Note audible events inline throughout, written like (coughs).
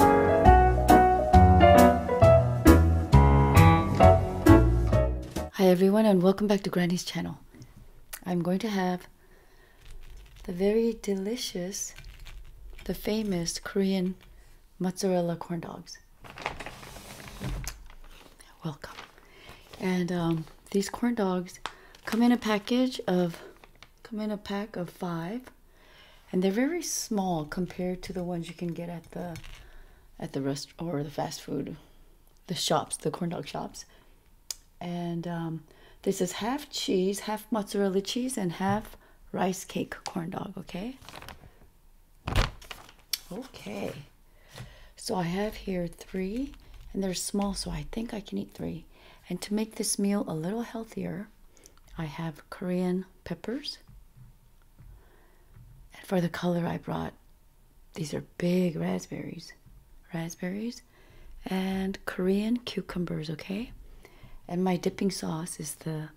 Hi everyone and welcome back to Granny's channel. I'm going to have the very delicious, the famous Korean mozzarella corn dogs. Welcome. And um, these corn dogs come in a package of Come in a pack of five. And they're very small compared to the ones you can get at the at the rest or the fast food, the shops, the corn dog shops. And um, this is half cheese, half mozzarella cheese, and half rice cake corn dog. Okay. Okay. So I have here three, and they're small, so I think I can eat three. And to make this meal a little healthier, I have Korean peppers. And for the color, I brought these are big raspberries. Raspberries and Korean cucumbers, okay? And my dipping sauce is the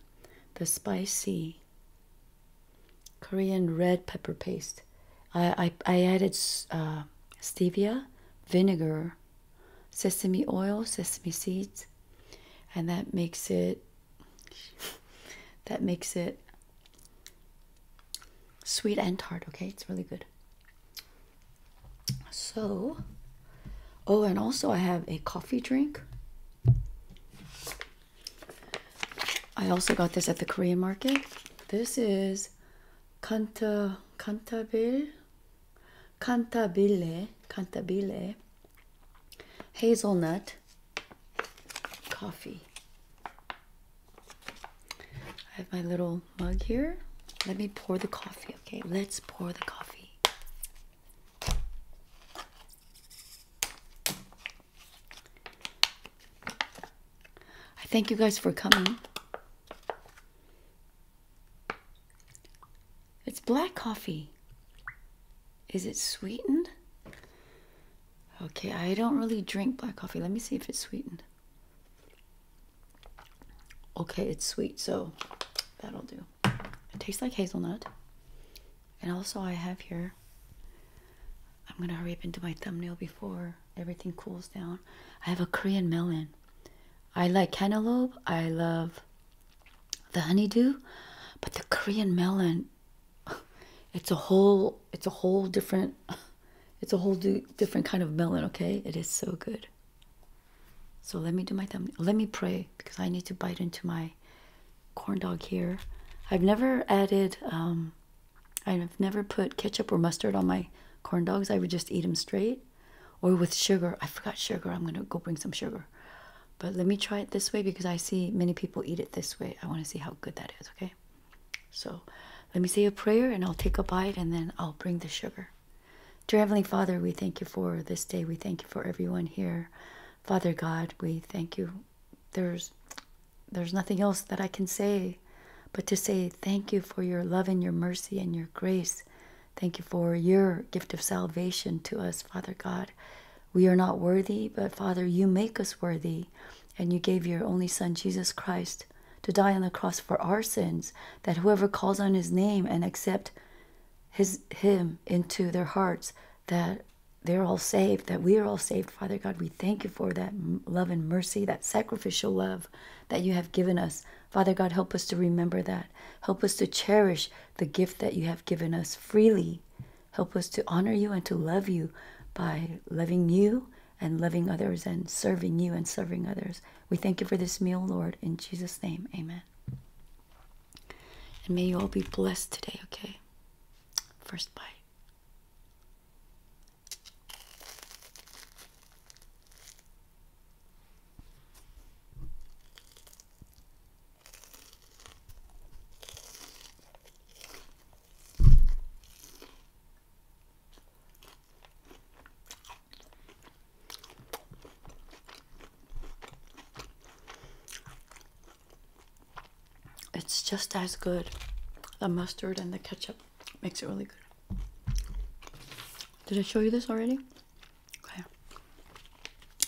the spicy Korean red pepper paste. I, I, added uh, stevia, vinegar, sesame oil, sesame seeds, and that makes it that makes it sweet and tart, okay? It's really good. So, oh, and also I have a coffee drink. I also got this at the Korean market. This is Kanta Kantabil Cantabile, Cantabile, hazelnut coffee. I have my little mug here. Let me pour the coffee, okay? Let's pour the coffee. I thank you guys for coming. It's black coffee. Is it sweetened? Okay, I don't really drink black coffee. Let me see if it's sweetened. Okay, it's sweet, so that'll do. It tastes like hazelnut. And also, I have here, I'm gonna hurry up into my thumbnail before everything cools down. I have a Korean melon. I like cantaloupe, I love the honeydew, but the Korean melon, it's a whole, it's a whole different, it's a whole different kind of melon. Okay, it is so good. So let me do my thumb. Let me pray because I need to bite into my corn dog here. I've never added, um, I've never put ketchup or mustard on my corn dogs. I would just eat them straight or with sugar. I forgot sugar. I'm going to go bring some sugar. But let me try it this way because I see many people eat it this way. I want to see how good that is, okay? So let me say a prayer and I'll take a bite and then I'll bring the sugar. Dear Heavenly Father, we thank you for this day. We thank you for everyone here. Father God, we thank you. There's there's nothing else that I can say but to say thank you for your love and your mercy and your grace Thank you for your gift of salvation to us, Father God. We are not worthy, but Father, you make us worthy. And you gave your only Son, Jesus Christ, to die on the cross for our sins, that whoever calls on his name and accept his him into their hearts, that they're all saved, that we are all saved. Father God, we thank you for that love and mercy, that sacrificial love that you have given us Father God, help us to remember that. Help us to cherish the gift that you have given us freely. Help us to honor you and to love you by loving you and loving others and serving you and serving others. We thank you for this meal, Lord. In Jesus' name, amen. And may you all be blessed today, okay? First bite. It's just as good. The mustard and the ketchup makes it really good. Did I show you this already? Okay.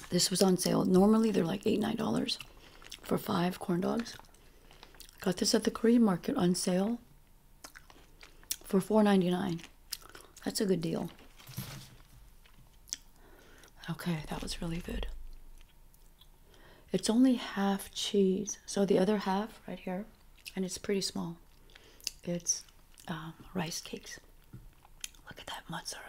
This was on sale. Normally they're like eight, nine dollars for five corn dogs. got this at the Korean market on sale for $4.99. That's a good deal. Okay, that was really good. It's only half cheese. So the other half right here and it's pretty small. It's um, rice cakes. Look at that mozzarella.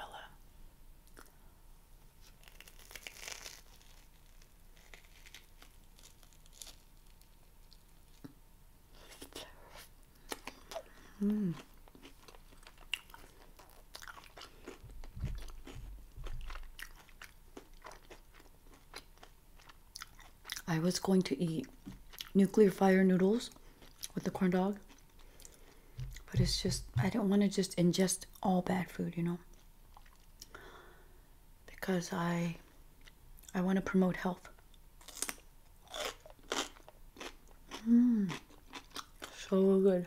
Mm. I was going to eat nuclear fire noodles with the corn dog, but it's just, I don't want to just ingest all bad food, you know? Because I, I want to promote health. Mmm, so good.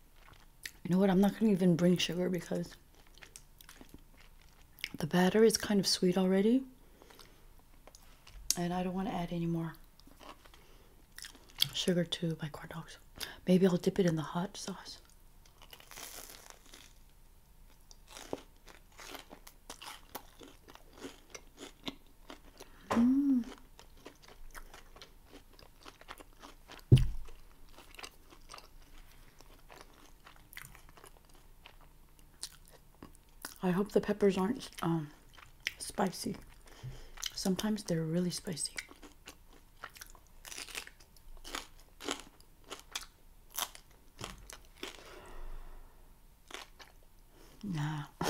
You know what? I'm not going to even bring sugar because the batter is kind of sweet already. And I don't want to add any more sugar to my corn dogs. Maybe I'll dip it in the hot sauce. Mm. I hope the peppers aren't um, spicy. Sometimes they're really spicy. Nah. (laughs)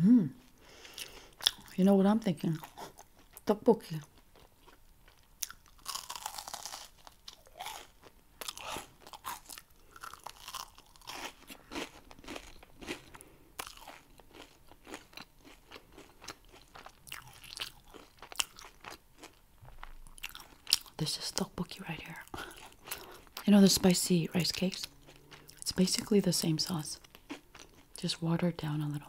Mm. You know what I'm thinking? Tteokbokki. This is tteokbokki right here. You know the spicy rice cakes? It's basically the same sauce, just watered down a little.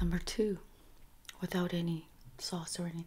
Number two, without any sauce or anything.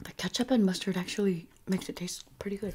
The ketchup and mustard actually makes it taste pretty good.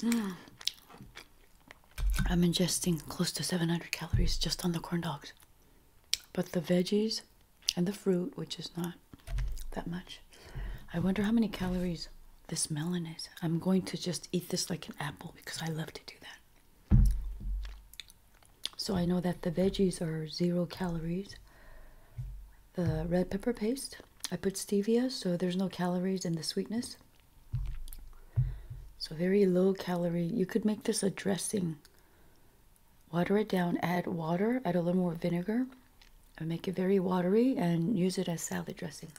Mm. I'm ingesting close to 700 calories just on the corn dogs. But the veggies and the fruit, which is not that much. I wonder how many calories this melon is. I'm going to just eat this like an apple because I love to do that. So I know that the veggies are zero calories. The red pepper paste, I put stevia, so there's no calories in the sweetness. So, very low calorie. You could make this a dressing. Water it down, add water, add a little more vinegar, make it very watery and use it as salad dressing.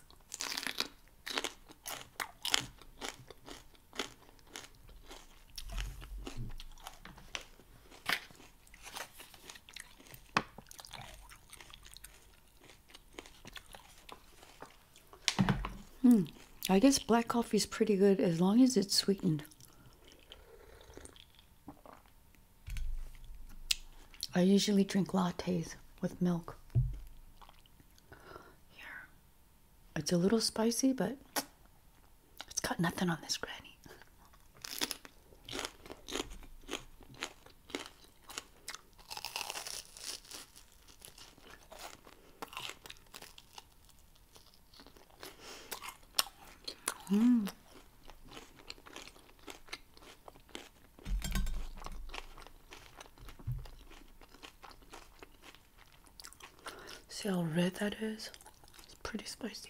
Hmm. I guess black coffee is pretty good as long as it's sweetened. I usually drink lattes with milk. Here. It's a little spicy, but it's got nothing on this granny. Mm. See how red that is? It's pretty spicy.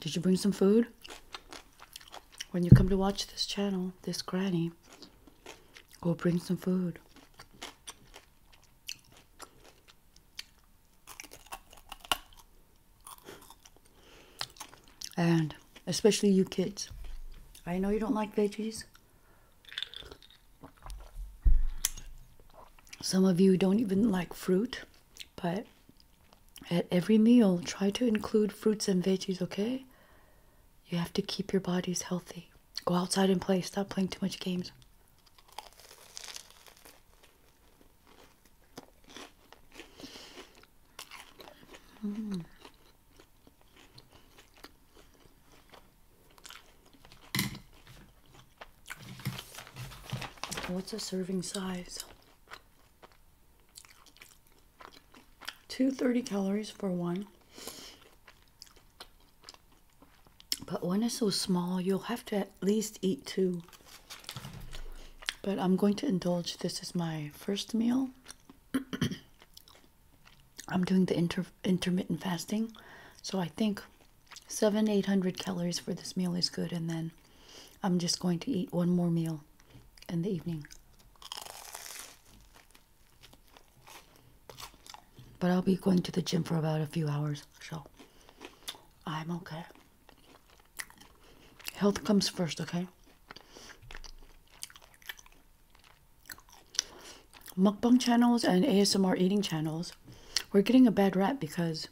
Did you bring some food? When you come to watch this channel, this granny, go bring some food. And especially you kids. I know you don't like veggies. Some of you don't even like fruit, but at every meal, try to include fruits and veggies, okay? You have to keep your bodies healthy. Go outside and play. Stop playing too much games. Hmm. What's a serving size? 230 calories for one. But one is so small, you'll have to at least eat two. But I'm going to indulge. This is my first meal. (clears throat) I'm doing the inter intermittent fasting. So I think seven, 800 calories for this meal is good. And then I'm just going to eat one more meal in the evening. But I'll be going to the gym for about a few hours, so I'm okay. Health comes first, okay? Mukbang channels and ASMR eating channels, we're getting a bad rap because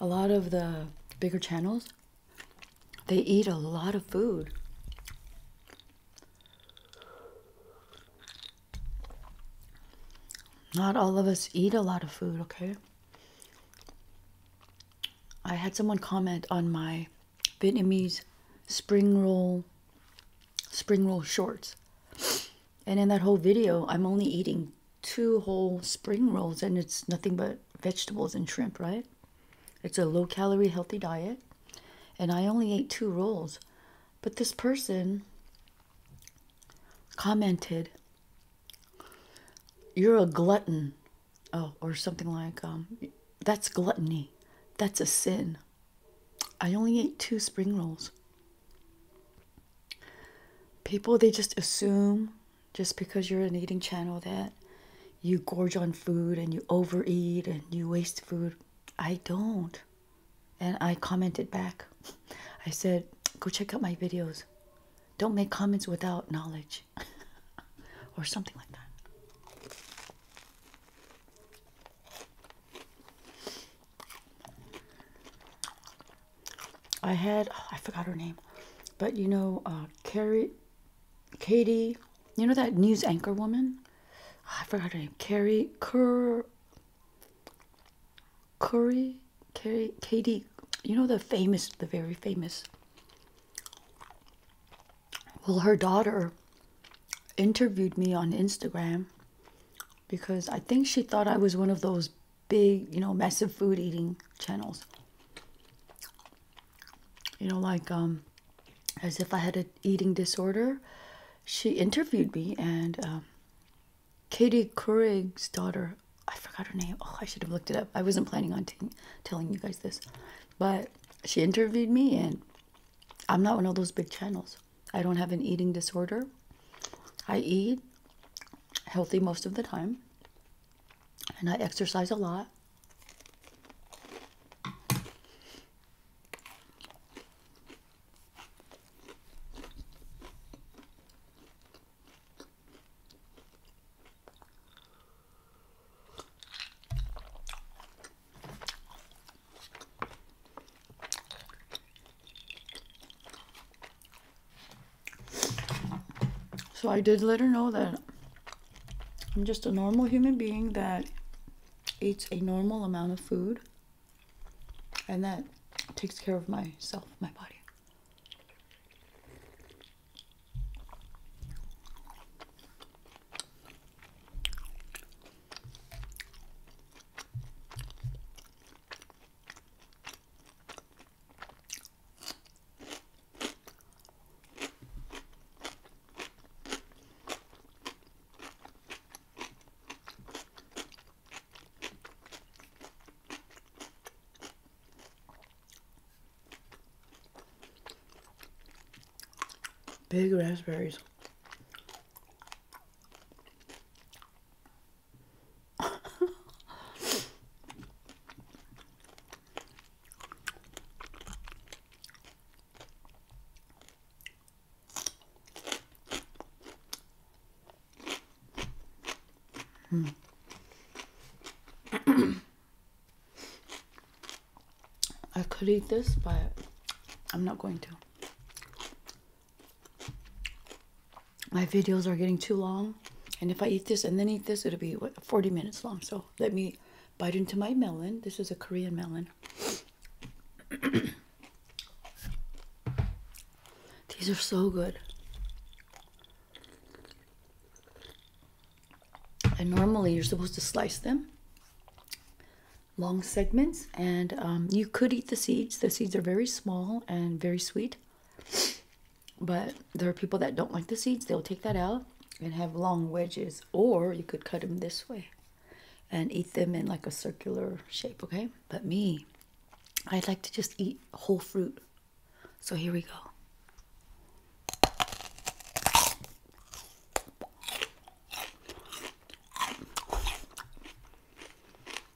a lot of the bigger channels they eat a lot of food. Not all of us eat a lot of food, okay? I had someone comment on my Vietnamese spring roll spring roll shorts. And in that whole video, I'm only eating two whole spring rolls, and it's nothing but vegetables and shrimp, right? It's a low calorie, healthy diet. And I only ate two rolls. But this person commented, You're a glutton. Oh, or something like, um, That's gluttony. That's a sin. I only ate two spring rolls. People, they just assume just because you're an eating channel that you gorge on food and you overeat and you waste food. I don't. And I commented back. (laughs) I said, go check out my videos. Don't make comments without knowledge (laughs) or something like that. I had oh, I forgot her name, but you know, uh, Carrie, Katie, you know that news anchor woman. Ah, I forgot her name. Carrie Cur. Curry, Carrie, Katie. You know the famous, the very famous. Well, her daughter interviewed me on Instagram because I think she thought I was one of those big, you know, massive food eating channels. You know, like um, as if I had a eating disorder. She interviewed me, and um, Katie Courig's daughter, I forgot her name. Oh, I should have looked it up. I wasn't planning on telling you guys this, but she interviewed me, and I'm not one of those big channels. I don't have an eating disorder. I eat healthy most of the time and I exercise a lot. So I did let her know that I'm just a normal human being that eats a normal amount of food and that takes care of myself, my body. Big raspberries mm. (clears throat) I could eat this, but I'm not going to my videos are getting too long. And if I eat this and then eat this, it'll be 40 minutes long. So let me bite into my melon. This is a Korean melon. (coughs) These are so good. And normally you're supposed to slice them long segments and um, you could eat the seeds the seeds are very small and very sweet but there are people that don't like the seeds. They'll take that out and have long wedges. Or you could cut them this way and eat them in like a circular shape, okay? But me, I'd like to just eat whole fruit. So here we go.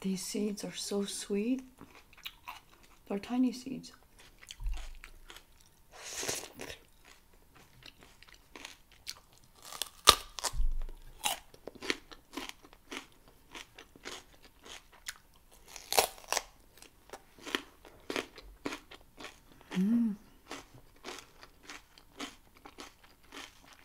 These seeds are so sweet. They're tiny seeds. Mm.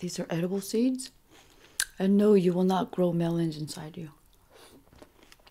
These are edible seeds. And no, you will not grow melons inside you.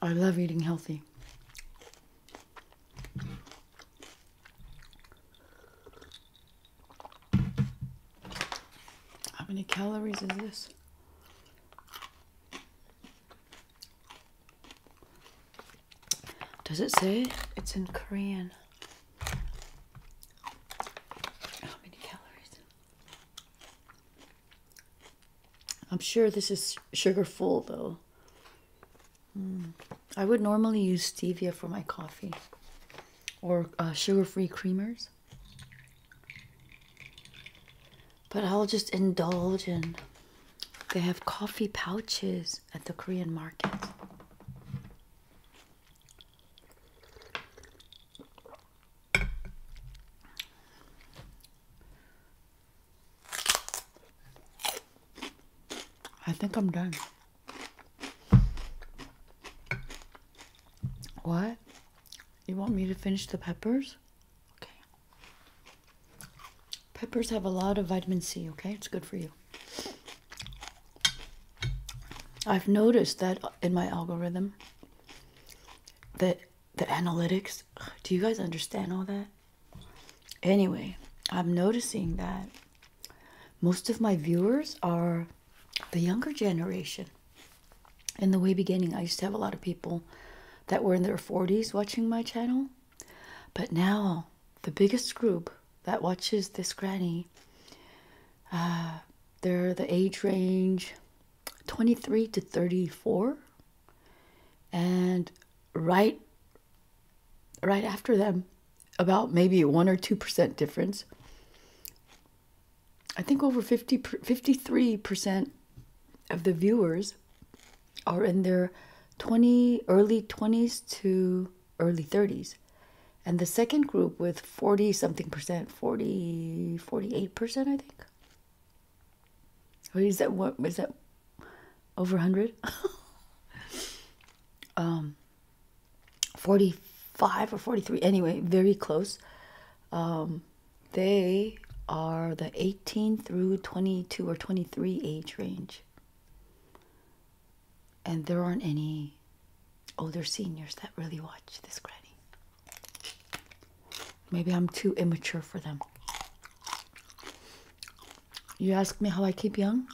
I love eating healthy. How many calories is this? Does it say it's in Korean? How many calories? I'm sure this is sugar full though. Hmm. I would normally use stevia for my coffee or uh, sugar free creamers but I'll just indulge in. They have coffee pouches at the Korean market. I think I'm done. What? You want me to finish the peppers? Okay. Peppers have a lot of vitamin C, okay? It's good for you. I've noticed that in my algorithm that the analytics, do you guys understand all that? Anyway, I'm noticing that most of my viewers are the younger generation. In the way beginning, I used to have a lot of people that were in their 40s watching my channel. But now, the biggest group that watches this granny, uh, they're the age range 23 to 34. And right, right after them, about maybe 1 or 2% difference, I think over 50, 53% of the viewers are in their 20 early 20s to early 30s and the second group with 40 something percent 40 48 percent i think or is that what is that over 100 (laughs) um 45 or 43 anyway very close um, they are the 18 through 22 or 23 age range. And there aren't any older seniors that really watch this granny. Maybe I'm too immature for them. You ask me how I keep young?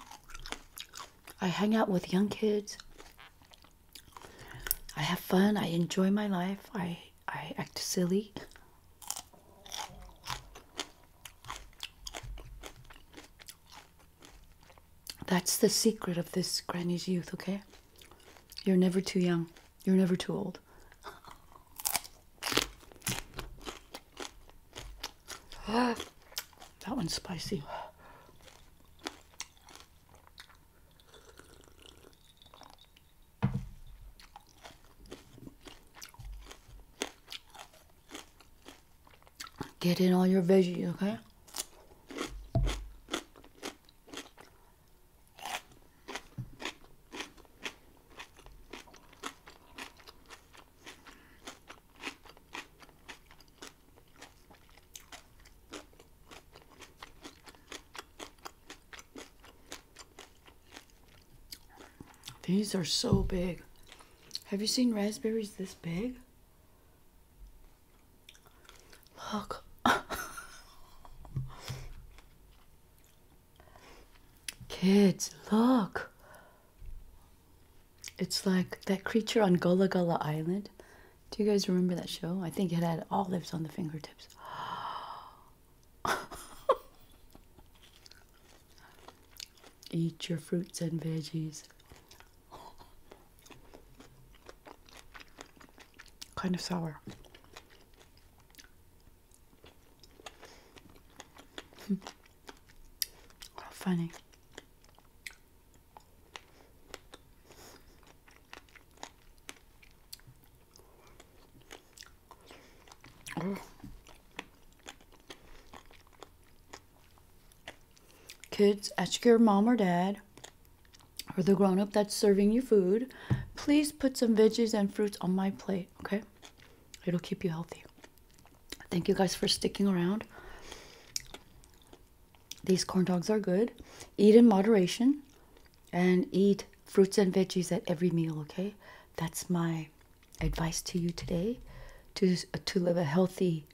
I hang out with young kids. I have fun. I enjoy my life. I, I act silly. That's the secret of this granny's youth, okay? You're never too young. You're never too old. (gasps) that one's spicy. Get in all your veggies, okay? These are so big. Have you seen raspberries this big? Look. (laughs) Kids, look. It's like that creature on Gullah Gullah Island. Do you guys remember that show? I think it had olives on the fingertips. (gasps) Oh, Eat your fruits and veggies. Kind of sour. Hmm. Oh, funny. Kids, ask your mom or dad or the grown up that's serving you food, please put some veggies and fruits on my plate, okay? It'll keep you healthy. Thank you guys for sticking around. These corn dogs are good. Eat in moderation and eat fruits and veggies at every meal, okay? That's my advice to you today to to live a healthy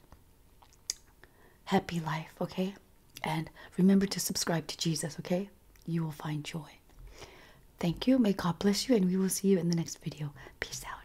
happy life, okay? And remember to subscribe to Jesus, okay? You will find joy. Thank you. May God bless you and we will see you in the next video. Peace out.